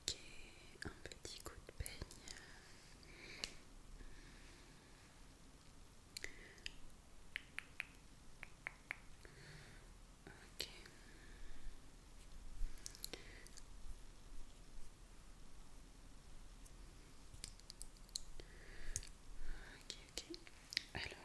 Ok, un petit coup de peigne. Ok, ok. Alors,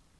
on y va.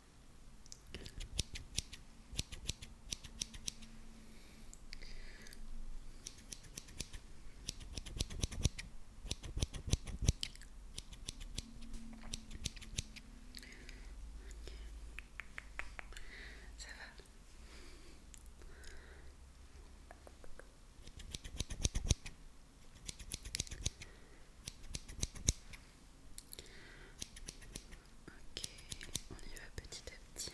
Ça va Ok, on y va petit à petit.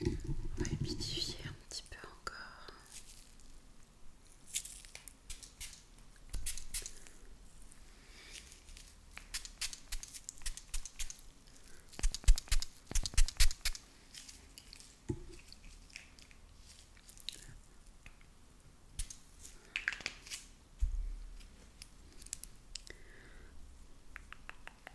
On va humidifier un petit peu encore.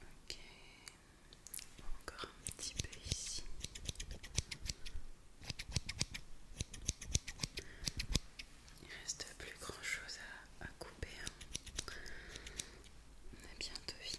Ok, encore un petit peu ici. Il reste plus grand chose à, couper. Hein. On a bien fini.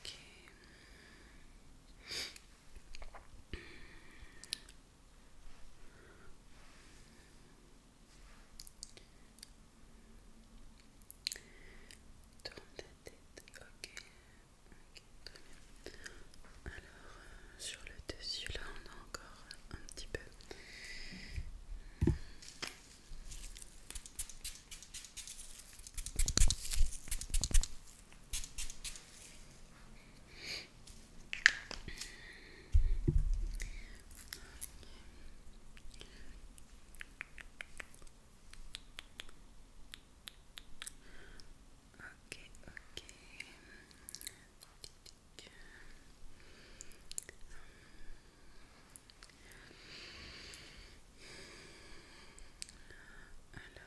Ok. Tourne ta Ok. Ok, Alors, euh, sur le dessus là on a encore un petit peu Ok, ok. Alors,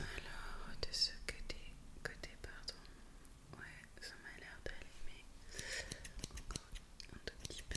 Alors, de ce côté, côté pardon, Ouais, ça m'a l'air d'aller, mais encore un tout petit peu.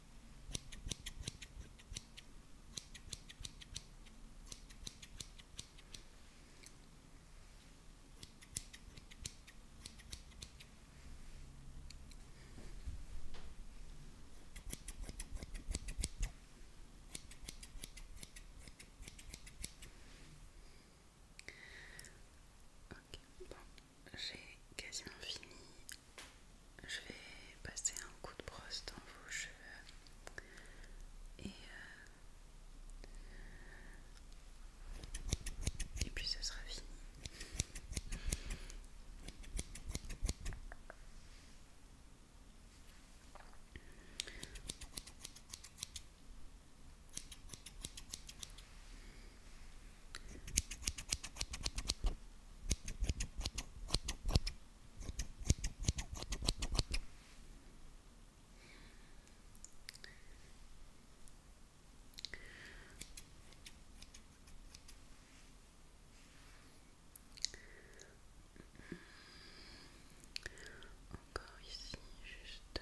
Ok, bon, j'ai quasiment fini je vais passer un coup de brosse dans vos cheveux et, euh, puis ce sera fini. Encore ici, juste.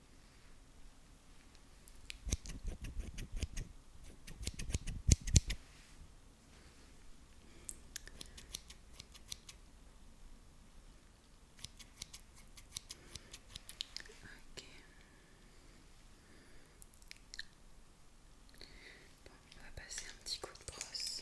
on va passer un petit coup de brosse.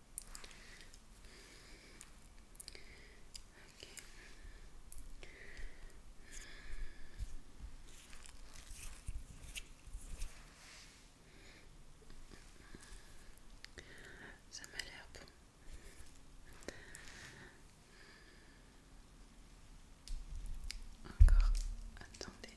Ça m'a l'air bon. Encore, attendez.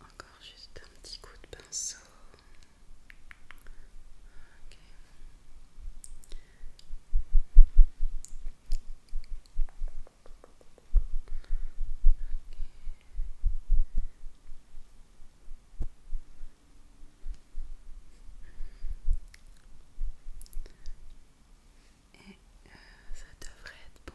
Encore juste un petit coup de pinceau. Et euh, ça devrait être bon.